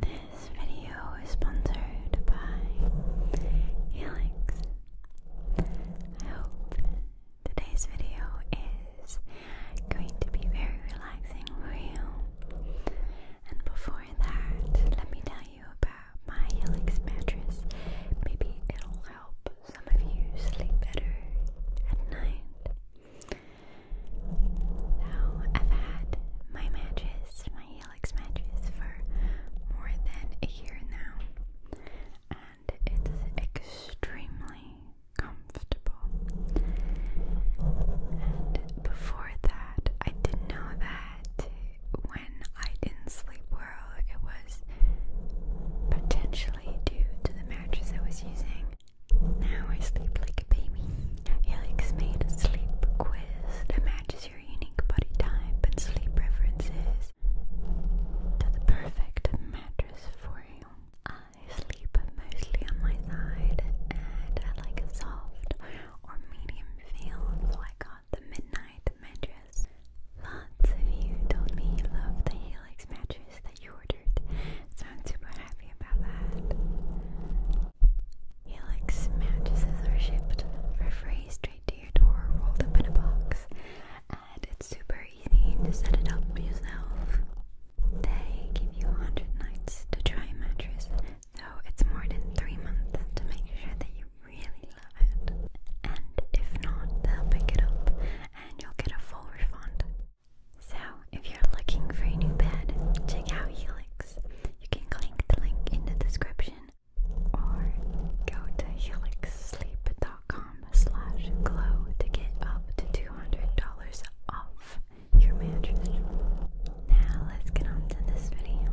This video is sponsored by Helix. I hope today's video is going to be very relaxing for you. And before that, let me tell you about my Helix mattress. Maybe it'll help some of you sleep better at night. Now, I've had my matches, my Helix matches, for more than a year now, and it's extremely comfortable. And before that, I didn't know that when I didn't sleep well, it was potentially due to the mattress I was using. Now I sleep like a baby. Helix made a sleep quiz that matches your unique body type and sleep preferences to the perfect mattress for you. I sleep mostly on my side and I like a soft or medium feel, so I got the midnight mattress. Lots of you told me you love the Helix mattress you ordered, so I'm super happy about that. He mattresses are shipped for to your door, rolled up in a box, and it's super easy to set it up yourself. They give you 100 nights to try a mattress, so it's more than 3 months to make sure that you really love it. And if not, they'll pick it up and you'll get a full refund. So, if you're looking for a new bed, check out Helix. You can click the link in the description or go to helixsleep.com slash glow to get up to $200 off your mattress. Now, let's get on this video.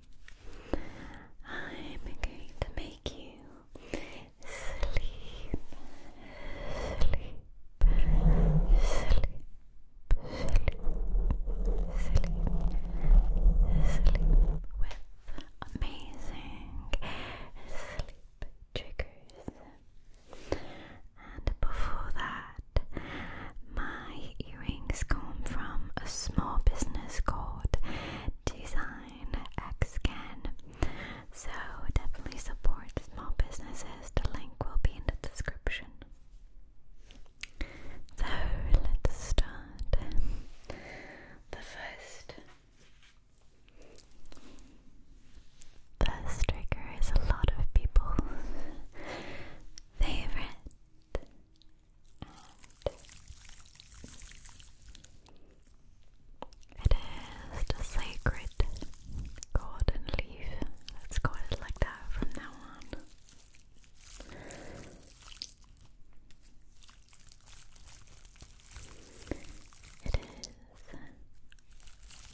I'm going to make you sleep, sleep, sleep, sleep, sleep, sleep with amazing sleep triggers. And before that, my earrings come from a small business called Design X So definitely support small businesses. The link will be in the description. So let's start. The first first trigger is a lot of people's favorite it is the sacred garden leaf. Let's call it like that from now on. It is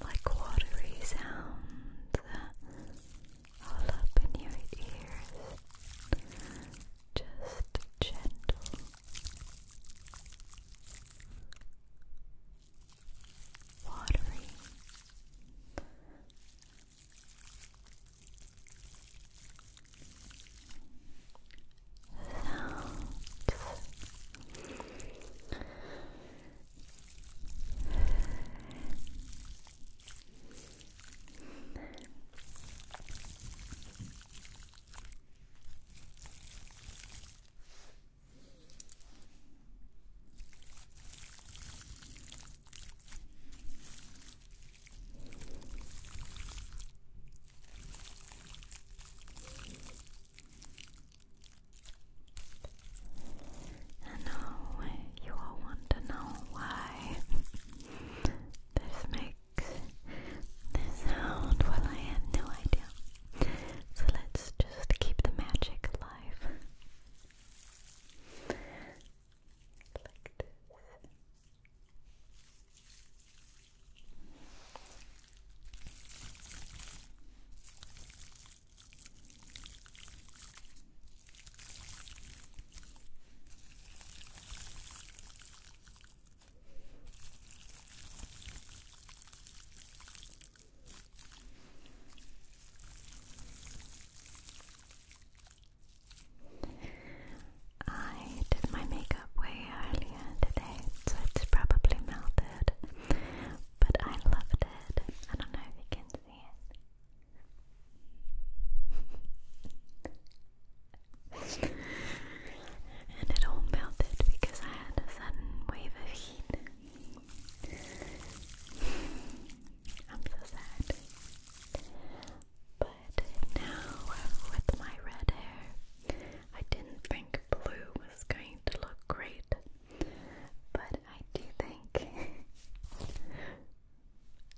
like watery sounds all up in your ears just gentle watery sounds I know you all want to know why this makes the sound? Well, I have no idea. So let's just keep the magic alive. like this. I did my makeup way earlier today, so it's probably melted, but I loved it. I don't know if you can see it and it all melted because I had a sudden wave of heat. I'm so sad. But now, with my red hair, I didn't think blue was going to look great, but I do think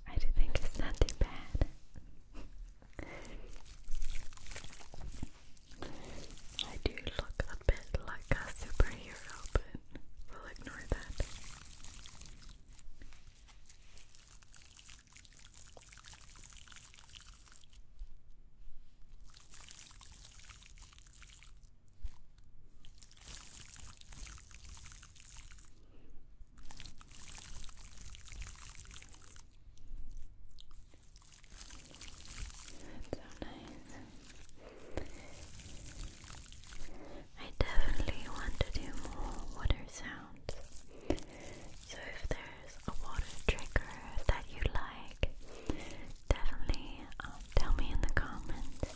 I do think it's not too bad. I do look a bit like a superhero, but we'll ignore that. That's so nice. I definitely want to do more water sounds. So if there's a water trigger that you like, definitely um, tell me in the comments.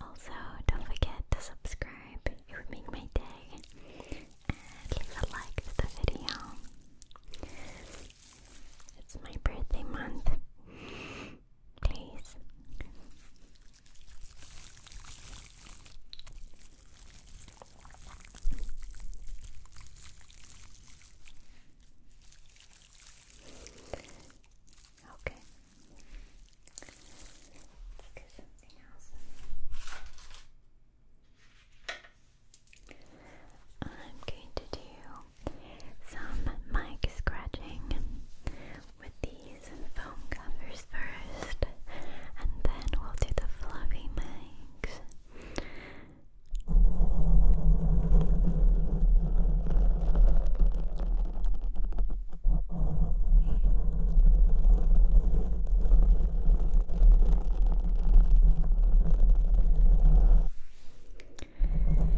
Also, don't forget to subscribe. It would make my day leave a like to the video. It's my birthday month. Please. Okay. I'm going to do some mic scratching with these foam covers first, and then we'll do the fluffy mics you had a good day, and if not,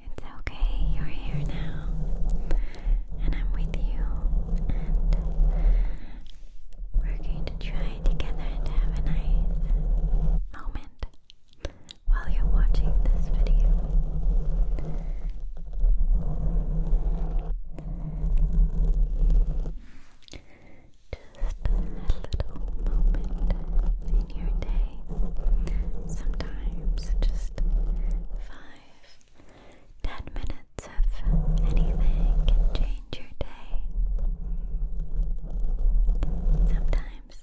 it's okay, you're here now and I'm with you, and we're going to try together to have a nice moment while you're watching this video. Just a little moment in your day. Sometimes just five Ten minutes of anything can change your day. Sometimes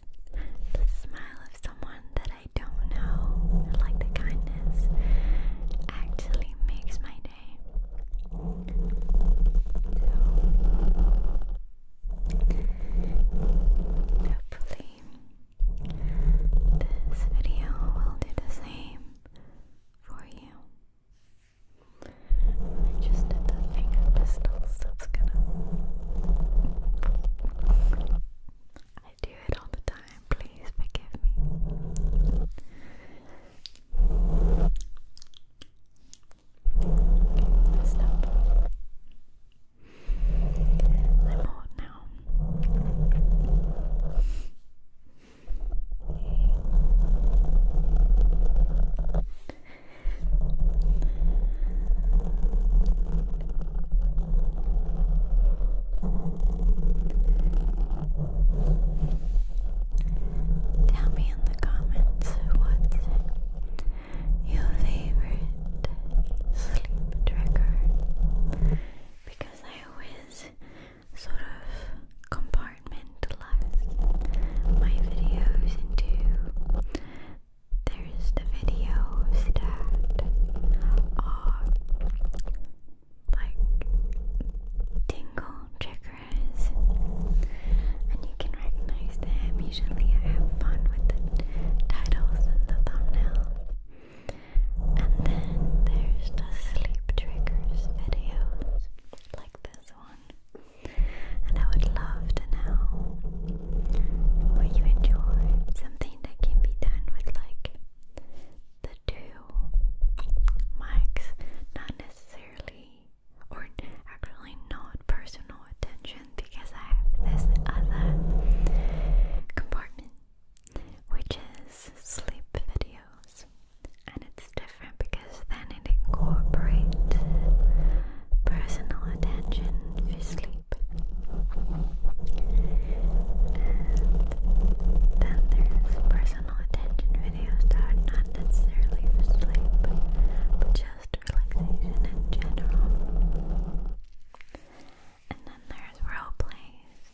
the smile of someone that I don't know, like the kindness, actually makes my day. So, hopefully, this video will do the same for you. I just did the finger pistols, that's gonna. I do it all the time, please forgive me. Messed I'm old now. Tell me in the comments what's your favorite sleep trigger because I always sort of compartmentalize my videos into there's the videos that are like tingle triggers and you can recognize them. Usually I have fun with the titles and the thumbnail. And then there's the sleep triggers videos like this one. And I would love to know what you enjoy. Something that can be done with like the two mics, not necessarily or actually not personal attention because I have this other compartment which is sleep videos, and it's different because then it incorporates personal attention for sleep. then there's personal attention videos that are not necessarily for sleep, but just relaxation in general. And then there's role plays,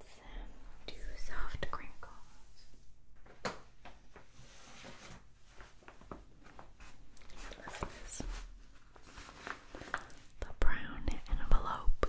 Let's do soft crinkles. I love The brown envelope.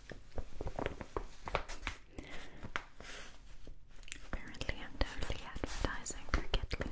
Apparently, I'm totally advertising for Kathleen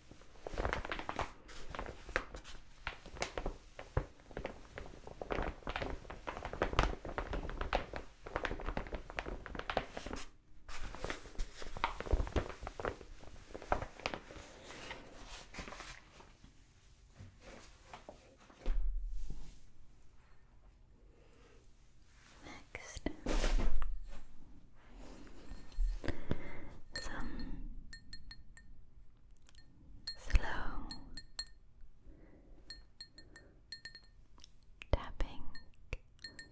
Next, some slow tapping. Relax.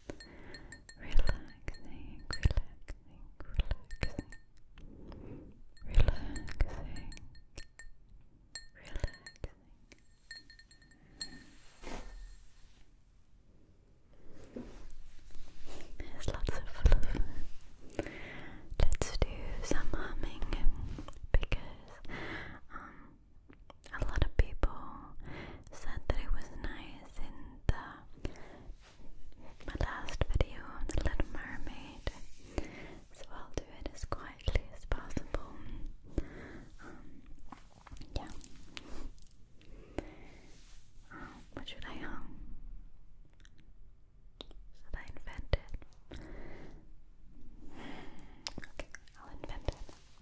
relaxing, relaxing, relaxing, relaxing, relaxing. There's lots of fluff. Let's do some humming because a lot of people said that it was nice in the my last video on the Little Mermaid, so I'll do it as quietly as possible. Um, yeah. Um, what should I um? Should I invent it? Okay, I'll invent it.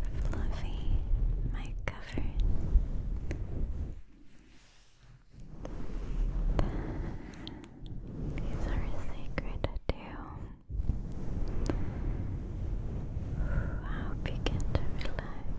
the fluffy mic cover these are sacred too I hope you to relax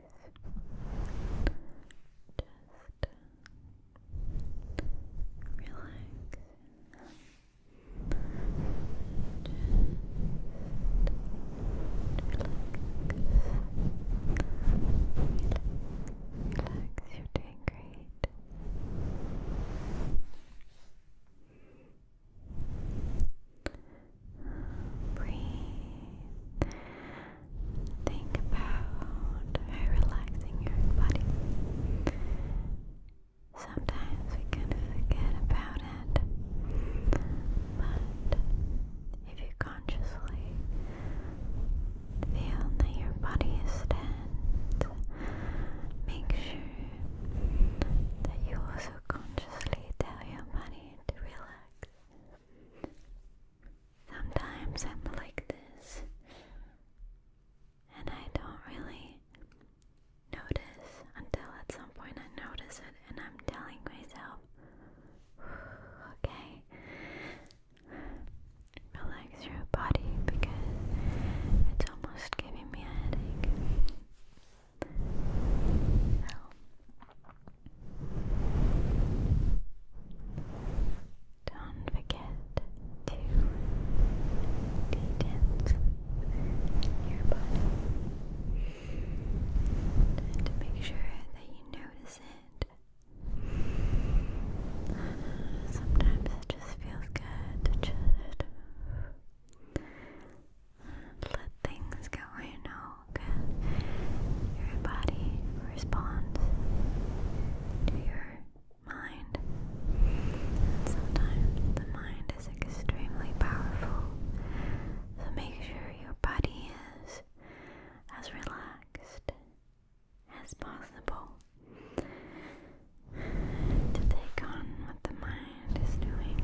relax, you're doing great. Good. Breathe. Think about how relaxing your body. Sometimes we kind of forget about it, but if you consciously feel that your body is tense, make sure that you also consciously tell your body to relax. Sometimes I'm like this, and I don't really notice until at some point I notice it, and I'm telling myself, okay, relax your body because it's almost giving me a headache. Don't forget to de your body to make sure that you notice it. Sometimes it just feels good to just let things go, you know. Your body responds to your mind. And sometimes the mind is extremely powerful, so make sure your body is as relaxed as possible to take on what the mind is doing.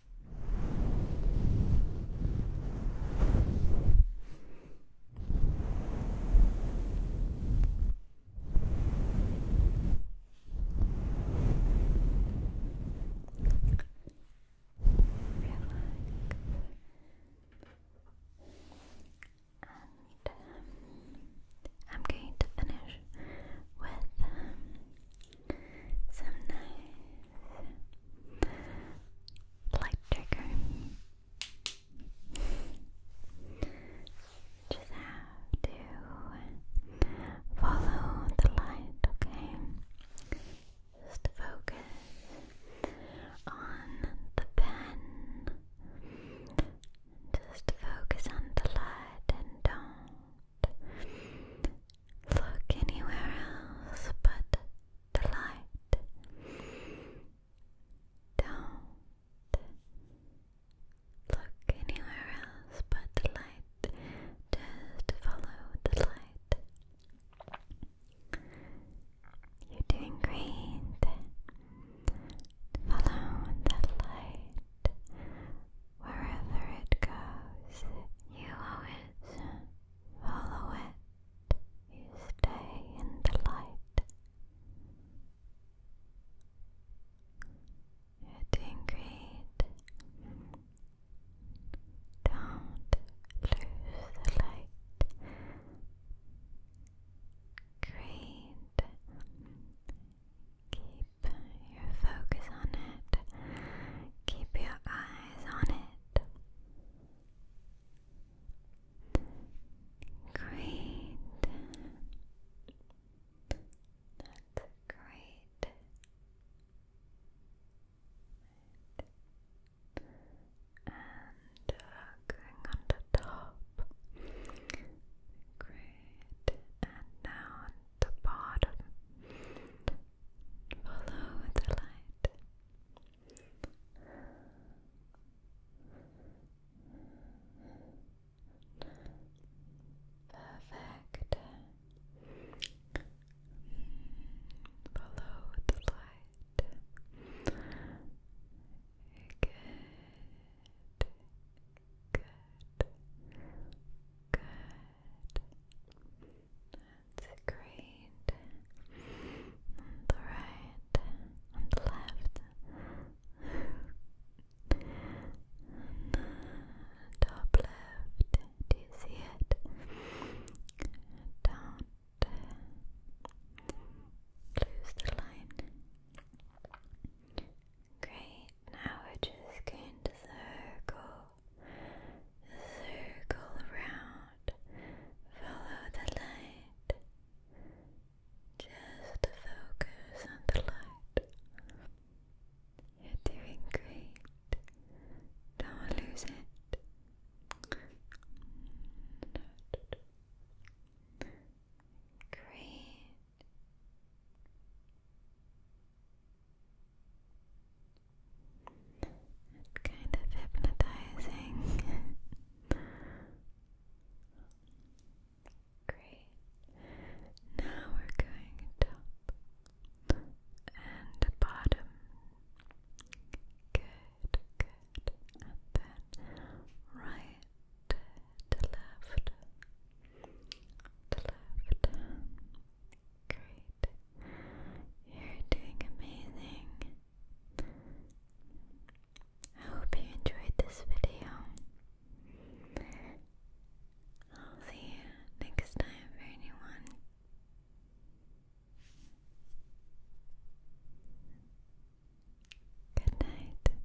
And um, I'm going to finish with um, some nice light trigger. Just have to follow the light, okay? Just focus on the pen. Just focus on the light and don't look anywhere else but the light. Don't look anywhere else but the light. Just follow the light. You're doing great. Follow the light. Wherever it goes, you follow it. You stay in the light. You're doing great. Don't lose the light. Great your focus on it. Keep your eyes on it. Great. great. And uh, going on the top. Great. And now the bottom. Follow the light. Perfect. Follow the light. Good. Good. Good. It's great. On the right, on the left, top left. Do you see it? Down. Lose the line. Great, now we're just going to circle, circle around, follow the light, just focus on the light. You're doing great, don't lose it. Great kind of hypnotizing. Great. Now we're going top and bottom. Good, good. And then right to left. To left. Great. You're doing amazing. I hope you enjoyed this video. I'll see you next time for anyone. Good night.